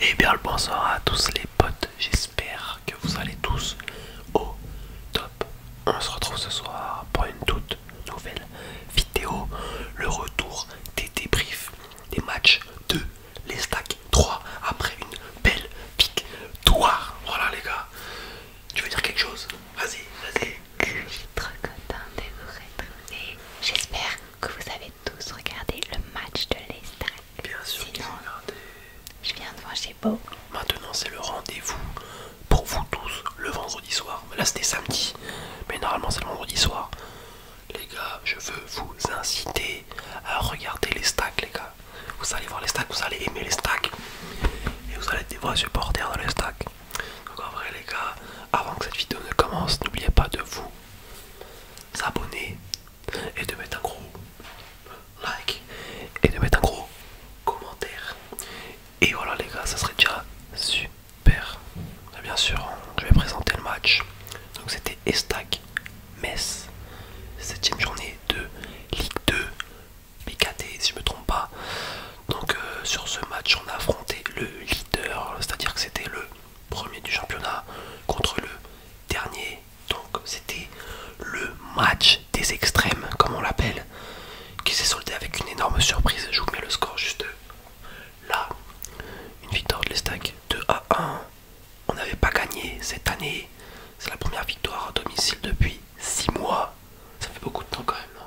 Et eh bien le bonsoir à tous les potes, j'espère que vous allez tous au top. On se retrouve ce soir pour une toute nouvelle vidéo, le retour des débriefs des matchs de stacks 3 après une belle victoire. Voilà les gars, tu veux dire quelque chose Vas-y, vas-y. Je suis contente de vous retrouver. J'espère que vous avez tous regardé le match de l'Estac. Bien sûr, j'ai regardé. Je viens de voir chez Beau. Maintenant, c'est le rendez-vous pour vous tous le vendredi soir. Là, c'était samedi, mais normalement, c'est le vendredi soir. Les gars, je veux vous inciter à regarder les stacks, les gars. Vous allez voir les stacks, vous allez aimer les stacks. Et vous allez devoir supporters dans les stacks. Donc en vrai les gars, avant que cette vidéo ne commence, n'oubliez pas de vous abonner et de mettre un gros like et de mettre un gros commentaire. Et voilà les gars, ça serait déjà super. bien sûr, je vais présenter le match. Donc c'était Estac Metz, 7ème journée de Ligue 2 BKT si je me trompe pas. Donc euh, sur ce match on a affronté le leader, c'est-à-dire que c'était le premier du championnat contre le dernier. Donc c'était le match des extrêmes comme on l'appelle, qui s'est soldé avec une énorme surprise. Je vous mets le score juste là. Une victoire de l'Estac 2 à 1. On n'avait pas gagné cette année. C'est la première victoire à domicile depuis 6 mois. Ça fait beaucoup de temps quand même, hein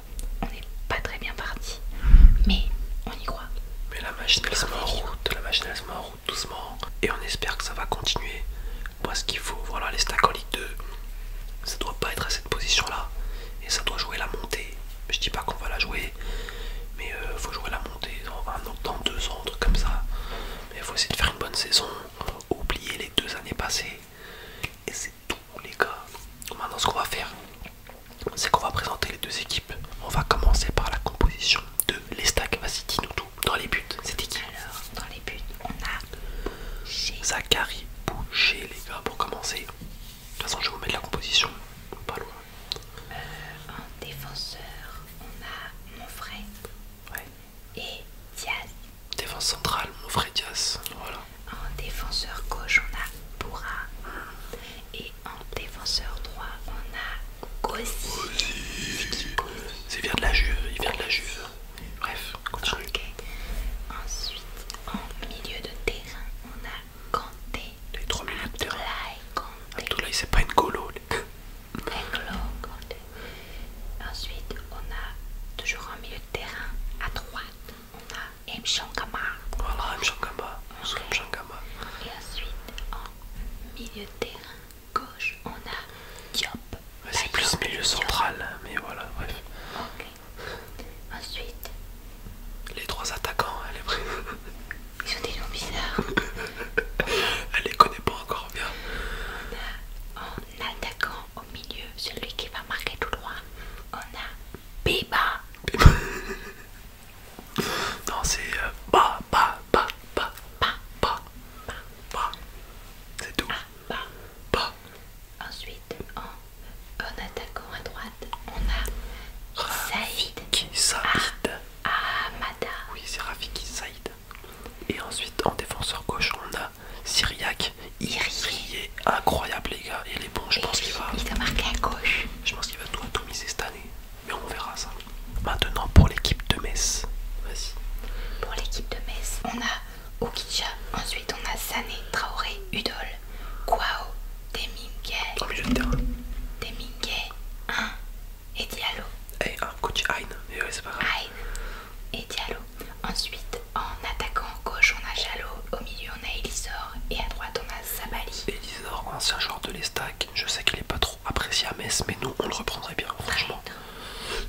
on n'est pas très bien parti, mais on y croit. Mais la machine elle se met en route, la machine elle se met en route doucement, et on espère que ça va continuer. Parce qu'il faut, voilà, les stacks 2, ça doit pas être à cette position là, et ça doit jouer la montée. Je dis pas qu'on va la jouer, mais euh, faut jouer la montée dans deux ans, comme ça. Mais il faut essayer de faire une bonne saison, oublier les deux années passées, les gars. Maintenant ce qu'on va faire, c'est qu'on va présenter les deux équipes. On va commencer par la composition de l'estac. Vas-y, nous tout. Dans les buts, c'était qui Alors, dans les buts, on a Zachary Boucher, les gars, pour commencer. De toute façon, je vais vous mettre la composition, pas loin. en euh, défenseur, on a Monfray ouais. et Diaz. Défense centrale, Monfray Diaz, voilà. En défenseur gauche, on a Boura. Et en défenseur droit, on a Gossi. C'est de la Juve, il vient de la Juve. Bref, continue. Ensuite, en milieu de terrain, on a Kanté. Les trois milieux de terrain. il c'est pas une colo. Ensuite, on a toujours en milieu de terrain à droite, on a voilà, Et ensuite, en milieu de terrain gauche, on a Diop. C'est plus milieu central, mais voilà, bref. Ok. Ensuite, les trois attaquants, elle est prête. Ils ont des noms bizarres. elle les connaît pas encore bien. On a en attaquant au milieu, celui qui va marquer tout droit, on a Biba. non, c'est euh, ba, ba, ba, ba, ba, ba, C'est tout. Ah, ensuite, en, attaquant à droite, on a Saïd. Qui Saïd. Ah, Mada. Oui, c'est Rafiki Saïd. Et ensuite, en défenseur gauche, on a Syriac, incroyable les gars, il est bon, je pense qu'il va... Il marqué à gauche. Je pense qu'il va tout atomiser cette année, mais on verra ça. Maintenant pour l'équipe de Metz, vas-y. Pour l'équipe de Metz, on a Oukicha, ensuite on a Sané, Traoré, Udol, Kwao, Demingue. En milieu de terrain. Demingue, et Diallo. Et un coach Ain, et c'est pas grave. et Diallo. Ensuite, en attaquant en gauche, on a Jalo, au milieu, on a Elisor et à droite, on a Sabali. Elisor, ancien joueur de l'Estac, je sais qu'il est pas trop apprécié à Metz, mais nous, on le reprendrait bien, franchement.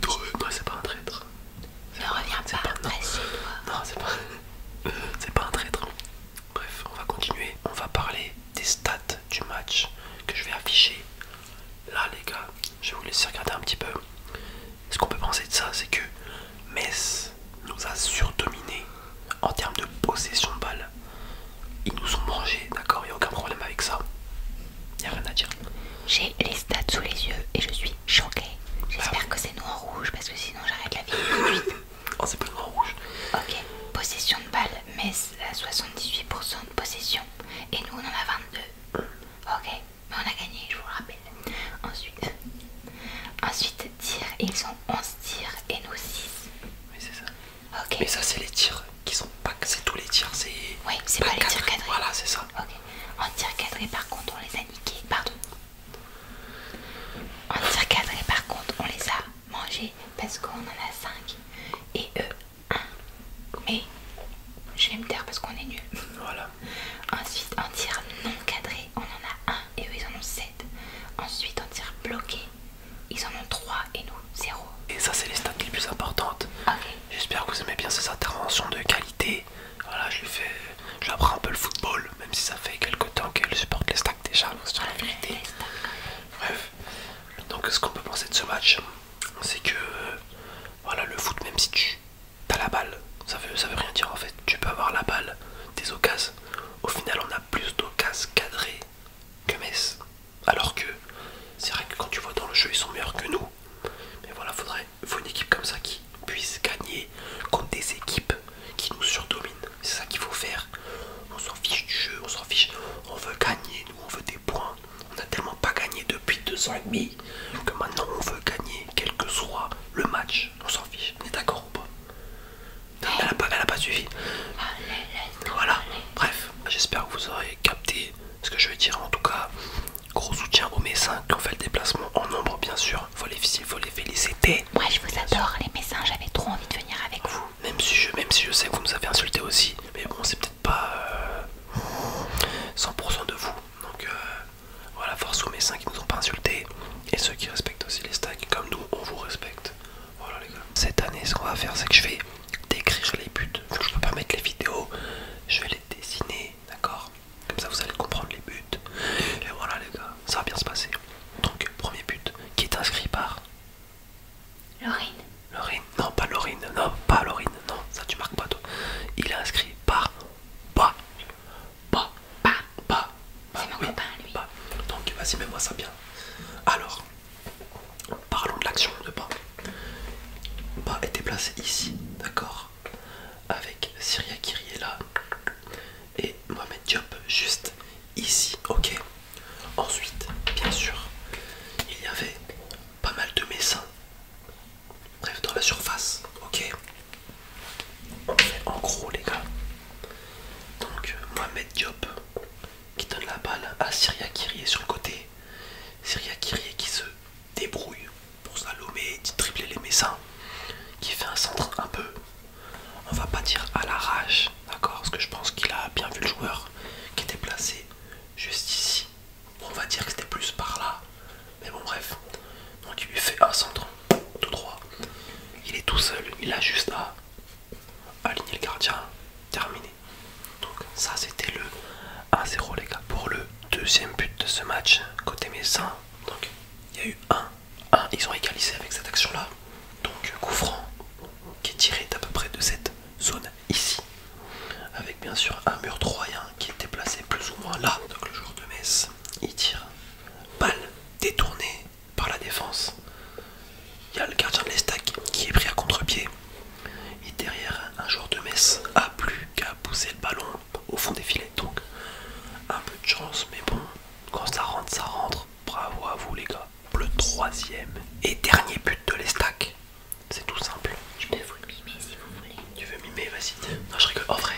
Non, c'est pas un traître. Ne reviens pas, Non, c'est pas... c'est pas un traître. Bref, on va continuer. On va parler des stats du match que je vais afficher. Là, les gars, je vais vous laisser regarder un petit peu ce qu'on peut penser de ça, c'est que Metz nous a surdominés en termes de possession de balle. Ils nous ont mangés, d'accord Il n'y a aucun problème avec ça. Il n'y a rien à dire. J'ai les stats sous les yeux et je suis choquée. Bah J'espère que c'est noir rouge parce que sinon j'arrête la vidéo tout de suite. Oh, c'est pas noir rouge. Ok, possession de balle, Metz a 78% de possession et nous on en a 22. Ok, mais on a gagné, je vous le rappelle. Ensuite, ensuite tir, ils ont 11 tirs et nous 6. Oui, c'est ça. Ok. Mais ça, c'est les tirs qui sont pas. C'est tous les tirs, c'est. Oui, c'est pas, les tirs cadrés. Voilà, c'est ça. Ok. En tir cadré, par contre, on les a niqués. Pardon. En tirs cadré, par contre, on les a mangés parce qu'on en a 5 et eux 1. Mais je vais me taire parce qu'on est nul. Voilà. Ensuite, un tir non cadré, on en a un et eux ils en ont 7. Ensuite, un tir bloqué, ils en ont trois et nous 0. Et ça, c'est les stats les plus importantes. Ah, J'espère que vous aimez bien ces interventions de qualité. Voilà, je fais. Je apprends un peu le football, même si ça fait quelque temps qu'elle supporte les stacks déjà, hein, vérité. Bref, donc ce qu'on peut penser de ce match, c'est que voilà le foot, même si tu t'as la balle, ça veut, rien dire en fait. Tu peux avoir la balle, des occasions. Au final, on a plus d'occas cadrées que Metz. Alors que c'est vrai que quand tu vois dans le jeu, ils sont meilleurs que nous. Mais voilà, faudrait, faut une équipe comme ça qui puisse gagner contre des équipes qui nous surdominent. C'est ça qu'il faut faire. On s'en fiche du jeu, on s'en fiche. On veut gagner, nous, on veut des points. On n'a tellement pas gagné depuis deux ans et demi que maintenant on veut gagner quel que soit le match, on s'en fiche, on est d'accord ou pas elle, a pas, suivi. Ah, voilà, bref, j'espère que vous aurez capté ce que je veux dire. En tout cas, gros soutien aux médecins qui ont fait le déplacement en nombre, bien sûr. Faut les, faut les féliciter. Moi, je vous adore, les médecins, j'avais trop envie de venir avec vous. Même si je, sais que vous nous avez insultés aussi, mais bon, c'est peut-être pas 100% euh, de vous. Donc, euh, voilà, force aux médecins qui nous ont pas insultés et ceux qui respectent aussi les stacks, comme nous, on vous respecte. Voilà les gars. Cette année, ce qu'on va faire, c'est que je vais décrire les buts. je peux pas mettre les vidéos, je vais les dessiner, d'accord Comme ça, vous allez comprendre les buts. Et voilà les gars, ça va bien se passer. Donc, premier but, qui est inscrit par Laurine. Laurine, non pas Laurine, non pas Laurine, non, ça tu marques pas toi. Il est inscrit par pas bah, lui. Donc vas-y, mets-moi ça bien. Alors, parlons de l'action de pas pas, est déplacé ici, d'accord Avec Syria est là et Mohamed Job juste ici, ok Ensuite, bien sûr, il y avait pas mal de messins bref dans la surface ok en gros les gars donc euh, Mohamed Diop qui donne la balle à Syria Kyrie sur le côté Syria Kyrie qui se débrouille pour Salomé et tripler les messins qui fait un centre un peu on va pas dire à l'arrache d'accord parce que je pense qu'il a bien vu le joueur qui était placé juste ici on va dire que c'était plus par là, mais bon bref, donc il lui fait un centre, tout droit, il est tout seul, il a juste à aligner le gardien, terminé. Donc ça c'était le 1-0 les gars. Pour le deuxième but de ce match, côté médecin, donc il y a eu 1, 1, ils ont égalisé avec cette action là, donc coup qui est tiré d'à peu près de cette zone ici avec bien sûr un mur troyen qui était placé plus ou moins là. Donc le joueur de Metz, il tire, balle détournée par la défense. Il y a le gardien de l'Estac qui est pris à contre-pied. Et derrière, un joueur de messe a plus qu'à pousser le ballon au fond des filets. Donc un peu de chance, mais bon, quand ça rentre, ça rentre. Bravo à vous les gars. Le troisième et dernier but de l'Estac. C'est tout simple. Tu veux mimer, vas-y. Non, je rigole. En vrai,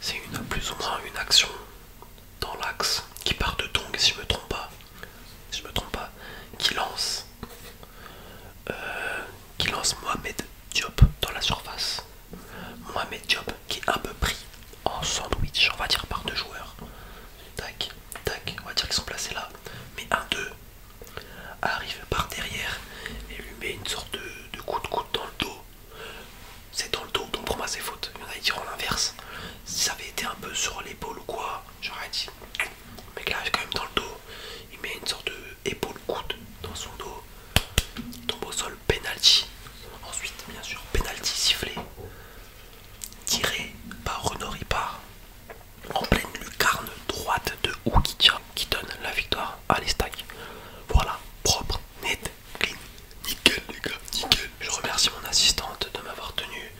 c'est une plus ou moins une action dans l'axe qui part de Tongue. si je me trompe pas. Si je me trompe pas, qui lance, euh, qui lance Mohamed Diop dans la surface. Mohamed Diop qui est un peu pris en sandwich, on va dire par deux joueurs. Tac, tac, on va dire qu'ils sont placés là. Mais un d'eux arrive par derrière et lui met une sorte de, coude coup coude dans le dos. C'est dans le dos, donc pour moi c'est faute. Il y en a qui diront l'inverse. Si ça avait été un peu sur l'épaule ou quoi, j'aurais dit. mais mec arrive quand même dans le dos. Il met une sorte de épaule coude dans son dos. tombe au sol, penalty. Ensuite, bien sûr, penalty sifflé. Tiré par Renaud Ripard en pleine lucarne droite de ou qui donne la victoire à l'estac. Voilà, propre, net, clean, nickel les gars, nickel. Je remercie mon assistante de m'avoir tenu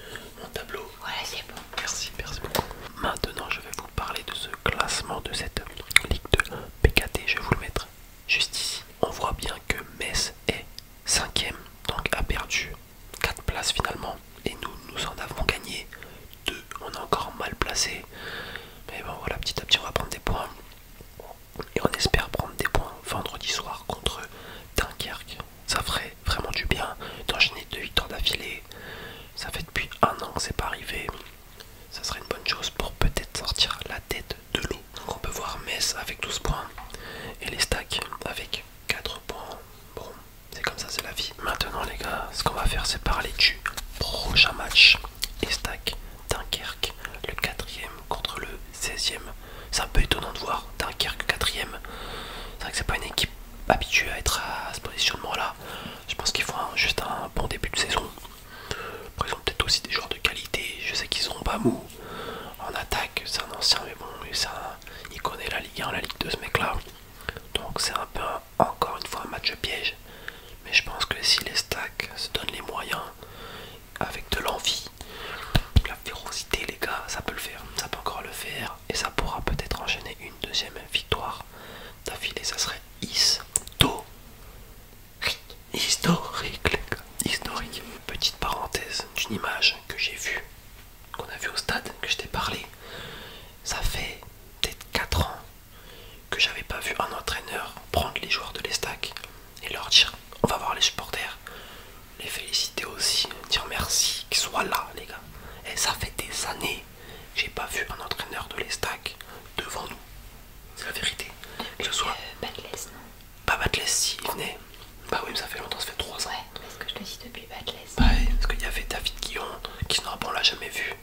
mon tableau. Voilà, c'est bon. Merci, merci beaucoup. Maintenant, je vais vous parler de ce classement de cette ligue de PKT. Je vais vous le mettre juste ici. On voit bien que Metz est 5ème, donc a perdu 4 places finalement. Et nous, nous en avons gagné 2 on est encore mal placé. Mais bon, voilà, petit à petit, on va prendre des points. Et on espère prendre des points vendredi soir contre Dunkerque. Ça ferait vraiment du bien d'enchaîner deux victoires d'affilée. Ça fait depuis un an que c'est pas arrivé. Ça serait une bonne chose pour peut-être sortir la tête de l'eau. Donc on peut voir Metz avec 12 points et les stacks avec 4 points. Bon, c'est comme ça, c'est la vie. Maintenant, les gars, ce qu'on va faire, c'est parler du prochain match. Estac, Dunkerque, le 4ème contre le 16ème. C'est un peu étonnant de voir Dunkerque 4ème. C'est vrai que c'est pas une équipe habituée à être à ce positionnement-là. Je pense qu'ils font juste un bon début de saison. Après, ils ont peut-être aussi des joueurs de qualité. Je sais qu'ils seront pas mou. En attaque, c'est un ancien, mais bon, il connaît la Ligue 1, la Ligue de ce mec-là. Donc, c'est un peu encore une fois un match piège. Mais je pense que si les stacks se donnent les moyens, avec de l'envie, la férocité les gars, ça peut le faire, ça peut encore le faire. Et ça pourra peut-être enchaîner une deuxième victoire d'affilée, ça serait historique. Historique les gars, historique. Petite parenthèse d'une image que j'ai vue, qu'on a vue au stade, que je t'ai parlé. Ça fait peut-être 4 ans que j'avais pas vu un entraîneur prendre les joueurs de l'Estac et leur dire on va voir les supporters, les féliciter aussi, dire merci, qu'ils soient là les gars. Et ça fait des années que j'ai pas vu un entraîneur de l'Estac devant nous. C'est la vérité. Euh, Batles, non Pas Batles, si, il venait. Bah oui, mais ça fait longtemps, ça fait 3 ans. Ouais, parce que je te dis depuis Batles parce qu'il y avait David Guillon, qui normalement on l'a jamais vu.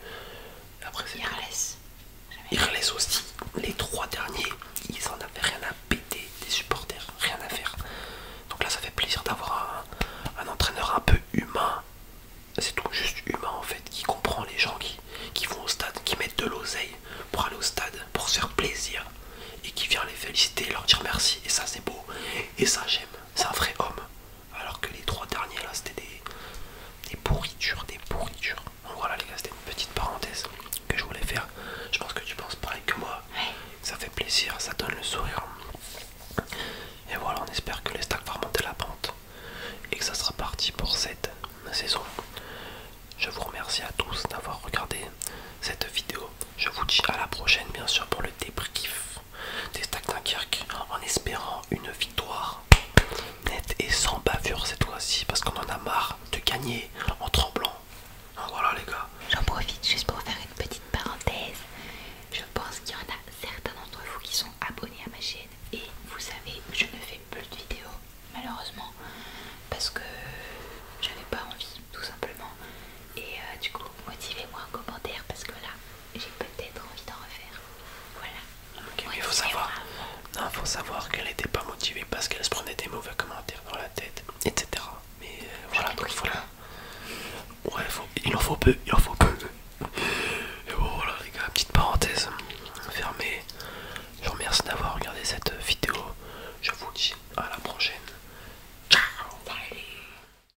Après, c'est aussi, les trois derniers, ils en avaient rien à péter des supporters, rien à faire. Donc là, ça fait plaisir d'avoir un, entraîneur un peu humain. C'est tout juste humain en fait, qui comprend les gens qui, qui vont au stade, qui mettent de l'oseille pour aller au stade, pour se faire plaisir, et qui vient les féliciter, leur dire merci. Et ça, c'est beau. Et ça, j'aime. C'est un vrai homme. Alors que les trois derniers là c'était des, des pourritures, des pourritures. Donc voilà les gars, c'était une petite parenthèse que je voulais faire. Je pense que tu penses pareil que moi. Ça fait plaisir, ça donne le sourire. Et voilà, on espère que les stacks vont remonter la pente et que ça sera parti pour cette saison. Je vous remercie à tous d'avoir regardé cette vidéo. Je vous dis à la prochaine bien sûr pour le débrief des d'un en espérant une victoire nette et sans bavure cette fois-ci parce qu'on en a marre de gagner en tremblant. Hein, voilà les gars. J'en profite juste pour faire une petite parenthèse. Je pense qu'il y en a certains d'entre vous qui sont abonnés à ma chaîne et vous savez, je ne fais plus de vidéos malheureusement parce que j'avais pas envie tout simplement. Et euh, du coup, motivez-moi en commentaire parce que là, j'ai peut-être envie d'en refaire. Voilà. Ok mais faut savoir, non, faut savoir qu'elle n'était pas motivée parce qu'elle se prenait des mauvais commentaires dans la tête, etc. Mais euh, voilà, donc voilà. Ouais, il en faut peu, il en faut peu. Et voilà, les gars, petite parenthèse fermée. Je vous remercie d'avoir regardé cette vidéo. Je vous dis à la prochaine. Ciao.